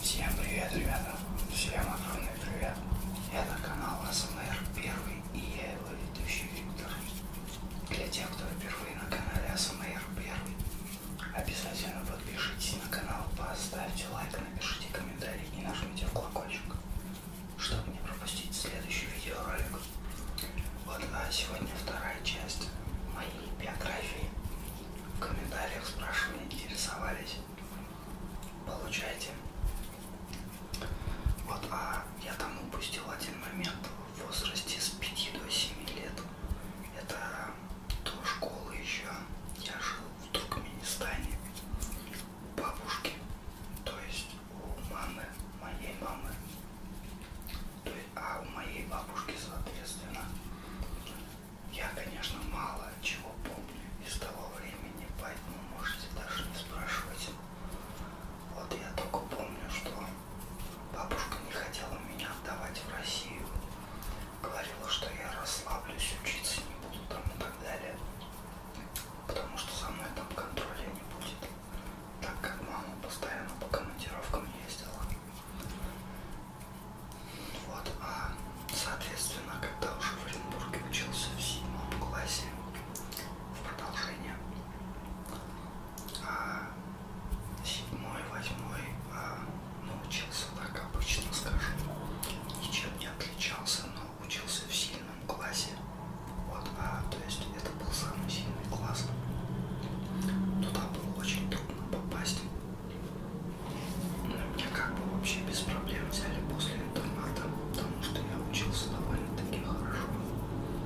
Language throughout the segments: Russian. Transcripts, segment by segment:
Всем привет, ребята! Всем огромный привет! Это канал АСМР Первый и я его ведущий Виктор. Для тех, кто впервые на канале АСМР Первый, обязательно подпишитесь на канал, поставьте лайк, напишите комментарий и нажмите в колокольчик, чтобы не пропустить следующий видеоролик. Вот а сегодня вторая часть моей биографии. В комментариях спрашивали, интересовались. Получайте. Вот, а я там упустил один момент в возрасте с 5 до 7 лет. Это до школы еще. Я жил в Туркменистане. Бабушки. То есть у мамы, моей мамы. То есть, а у моей бабушки, соответственно, я, конечно, мало чего помню из того времени, поэтому можете даже не спрашивать. Вот я только помню, что бабушка не хотела меня отдавать в Россию. Говорила, что я расслаблюсь, учиться не буду там и так далее. Потому что со мной там контроля не будет так как мама постоянно по командировкам ездила. Вот, а соответственно, когда уже в Оренбурге учился в седьмом классе, в продолжение, а седьмой, восьмой а, научился, так обычно скажу, ничем не отличался, но учился в сильном классе. Вот, а, то есть это был самый сильный класс. Туда было очень трудно попасть. Но меня как бы вообще без проблем взяли после интерната, потому что я учился довольно-таки хорошо.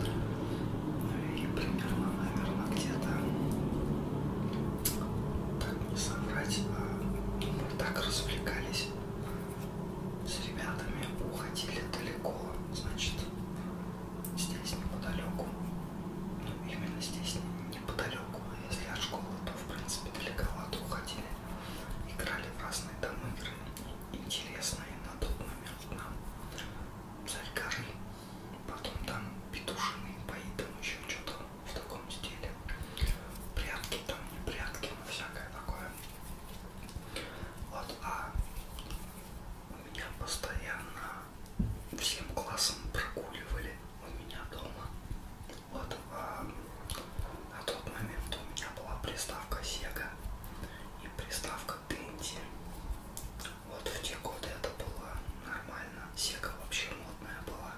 Ну и примерно, наверное, где-то, как не соврать, а, мы так развлекались с ребятами уходили далеко, значит, здесь неподалеку, ну именно здесь неподалеку, а если от школы, то в принципе далековато уходили, играли в разные там игры, интересные на тот момент нам, царь горы, потом там петушины, бои, там еще что-то в таком стиле, прятки там, не прятки, но ну, всякое такое. Вот, а у меня постоянно всем классом прогуливали у меня дома. Вот, а на тот момент у меня была приставка Sega и приставка Dendy. Вот в те годы это было нормально. Sega вообще модная была.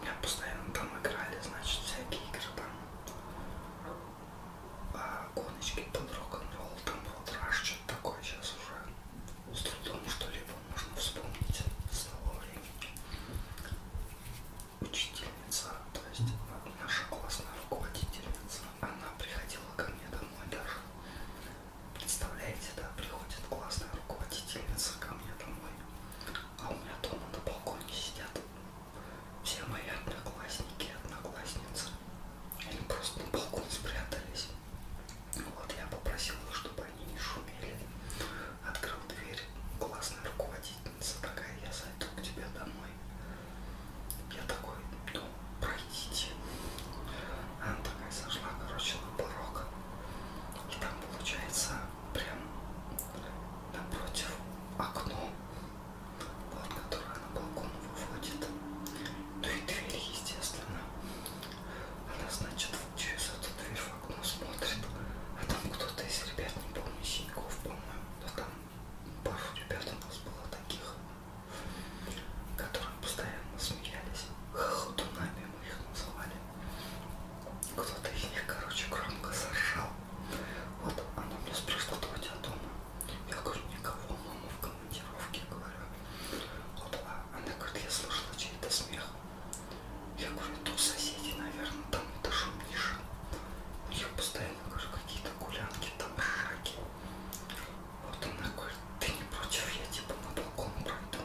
Меня постоянно там играли, значит, всякие игры там. А, гоночки под рок-н-ролл, там рок что-то такое сейчас уже. С трудом что-либо можно вспомнить с того времени. Учительница, то есть наша классная руководительница, она приходила ко мне домой даже. Представляете, да, приходит классная руководительница ко мне домой а у меня дома на балконе сидят все мои одноклассники и одноклассницы. Они просто на балкон спрятались. Вот я попросил их, чтобы они не шумели. Открыл дверь. Классная руководительница такая, я зайду к тебе домой. Я такой, ну, пройдите. Она такая сошла, короче, на порог. И там, получается, прям напротив окно, вот, которое на балкон выводит. Ну и дверь, естественно. Она, значит, через эту дверь в окно смотрит. А там кто-то из ребят, не помню, Синьков, по-моему, да там пару ребят у нас было таких, которые постоянно смеялись хохотунами их называли. Кто-то из них, короче, громко заржал. Вот она меня спрашивала, кто у тебя дома? Я говорю, никого, мама в командировке, говорю. Вот, а она говорит, я слышала чей-то смех. Я говорю, то соседи, наверное, там этажом ниже. У них постоянно, говорю, какие-то гулянки, там ржаки. Вот она говорит, ты не против, я типа на балкон пройду.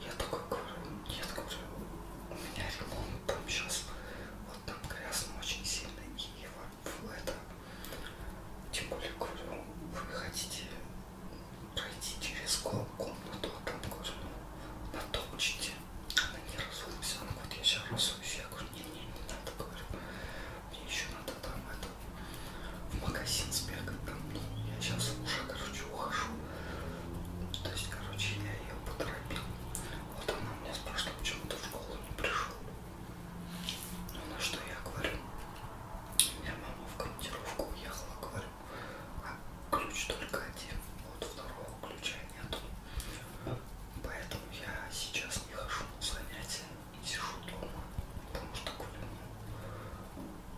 Я такой говорю, нет, говорю, у меня ремонт там сейчас, вот там грязно очень сильно, и в это, тем более, говорю, вы хотите пройти через комнату, а там, говорю, ну, натопчите. Она не разумится, она говорит, я сейчас разуюсь, я говорю, не-не, не надо, говорю, мне еще надо там это в магазин с бегом. Ну, я сейчас уже, короче, ухожу. То есть, короче, я ее поторопил. Вот она меня спрашивала, почему ты в школу не пришел. Ну, на что я говорю, я мама в командировку уехала, говорю, а ключ только один, вот второго ключа нету. Поэтому я сейчас не хожу на занятия сижу дома, потому что гуляю.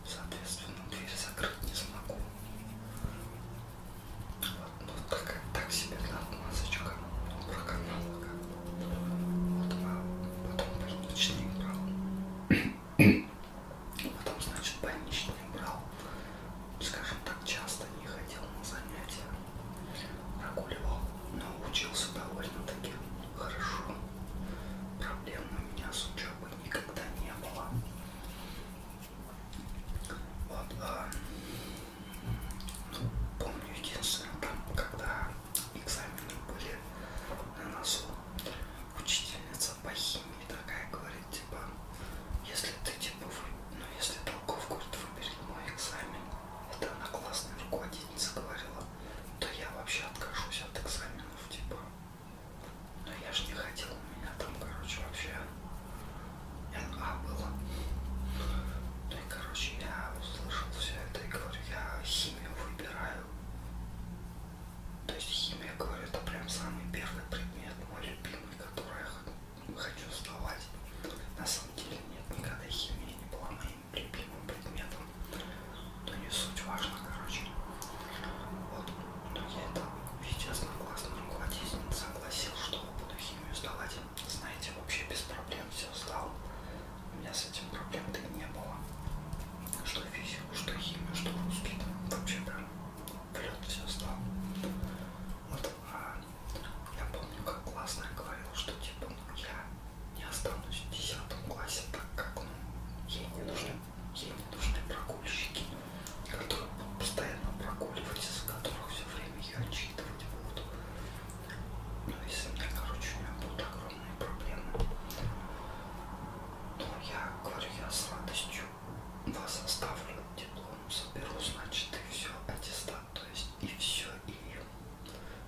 Соответственно, дверь закрыть не смогу. Вот, ну, так, так себе отмазочка про канал. Вот, а потом больничный брал. Потом, значит, больничный брал. Скажем так, часто не ходил на занятия. Прогуливал, но учился довольно-таки хорошо. Проблем у меня с учебой никогда не было. Вот, а, ну, помню единственное, там, когда экзамены были на носу, учительница по химии такая говорит, типа, если ты, типа, вы, ну, если толков, говорит, выберет мой экзамен, это она классная руководительница говорила, то я вообще откажусь от экзаменов, типа. Но ну, я же не хотел, у меня там, короче, вообще НА было. Ну и, короче, я услышал все это и говорю, я химию выбираю. То есть химия, говорю, это прям самый первый предмет, мой любимый, который я хочу сдавать. На самом деле нет, никогда химия не была моей любимым предметом. Но не суть важно, короче. Вот. Но я это ведь одноклассный кладезин согласил, что буду химию сдавать. Знаете, вообще без проблем все сдал. У меня с этим проблем-то и не было. Что физику, что химию, что русский. Вообще прям влет все сдал. Вот. А я помню, как классно я говорила, что типа, ну, я не останусь в 10 классе, так как, ну, ей не нужны, ей не нужны прогульщики, которые будут постоянно прогуливать, из которых все время ее отчитывать будут. Ну, если мне, короче, у меня будут огромные проблемы, то я говорю, я с радостью вас оставлю, диплом соберу, значит, и все, аттестат то есть и все, и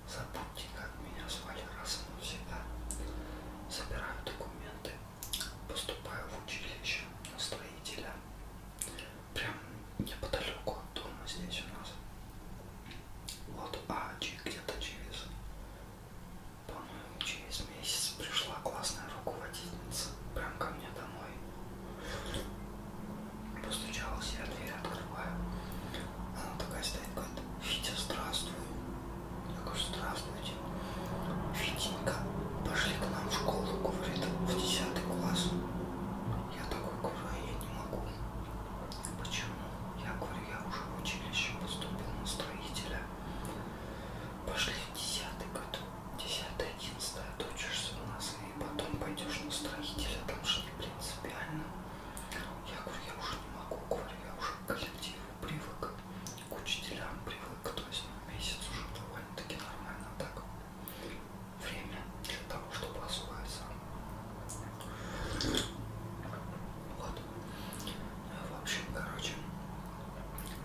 забудьте, как меня звали раз и навсегда. Собираю документы, поступаю в училище на строителя, прям неподалеку от дома здесь у нас. Вот, а где-то через, по-моему, через месяц пришла классная руководительница прям ко мне домой Постучалась, я дверь открываю. Она такая стоит, говорит, Витя, здравствуй. Я говорю, здравствуйте. Витенька, пошли к нам в школу, говорит, в 10 класс. Я такой говорю, а я не могу. Почему? Я говорю, я уже в училище поступил на строителя. Пошли в 10 год. Десятое, одиннадцатое отучишься у нас и потом пойдешь на строителя, там же не принципиально. Я говорю, я уже не могу, говорю, я уже к коллективу привык, к учителям привык, то есть на ну, месяц уже довольно-таки нормально так. Время для того, чтобы освоиться. Вот. Ну, в общем, короче,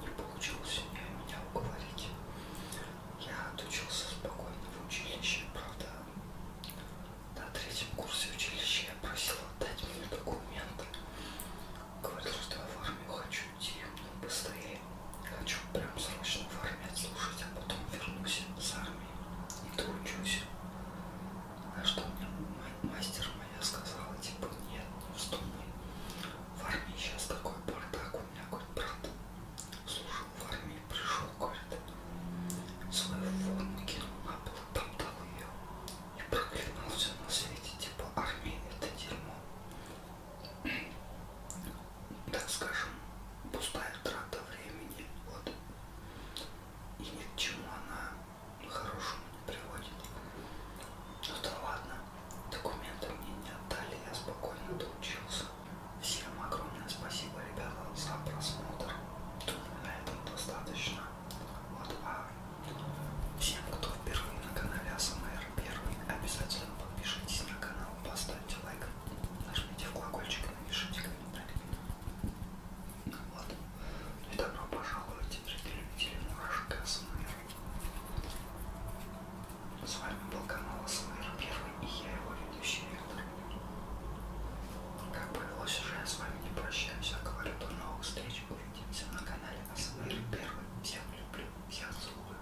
не получилось меня уговорить. Я отучился спокойно в училище, правда, на третьем курсе училища я просил отдать мне документы. Говорил, что я в армию хочу идти, но ну, быстрее. Хочу прям срочно в армию слушать, а потом вернусь с армии и доучусь. А что мне мастер моя сказала, типа, нет, не вздумай в армии сейчас такой бардак, у меня говорит, брат служил в армии, пришел, говорит, свою форму кинул на пол, там дал ее и проклинал все на свете, типа армия это дерьмо, так скажем, пустая трата времени, вот, и ни к чему она хорошему не приводит. Ну да ладно, Документы мне не отдали, я спокойно доучился. Всем огромное спасибо, ребята, за просмотр. Думаю, на этом достаточно. Вот, а всем, кто впервые на канале АСМР первый, обязательно подпишитесь на канал, поставьте лайк, нажмите в колокольчик и напишите комментарий. Вот. И добро пожаловать, зрители, любители мурашек АСМР. С вами был канал СМР Первый и я его ведущий Виктор. Как повелось уже, я с вами не прощаюсь, а говорю до новых встреч. Увидимся на канале СМР Первый. Всех люблю, всех целую.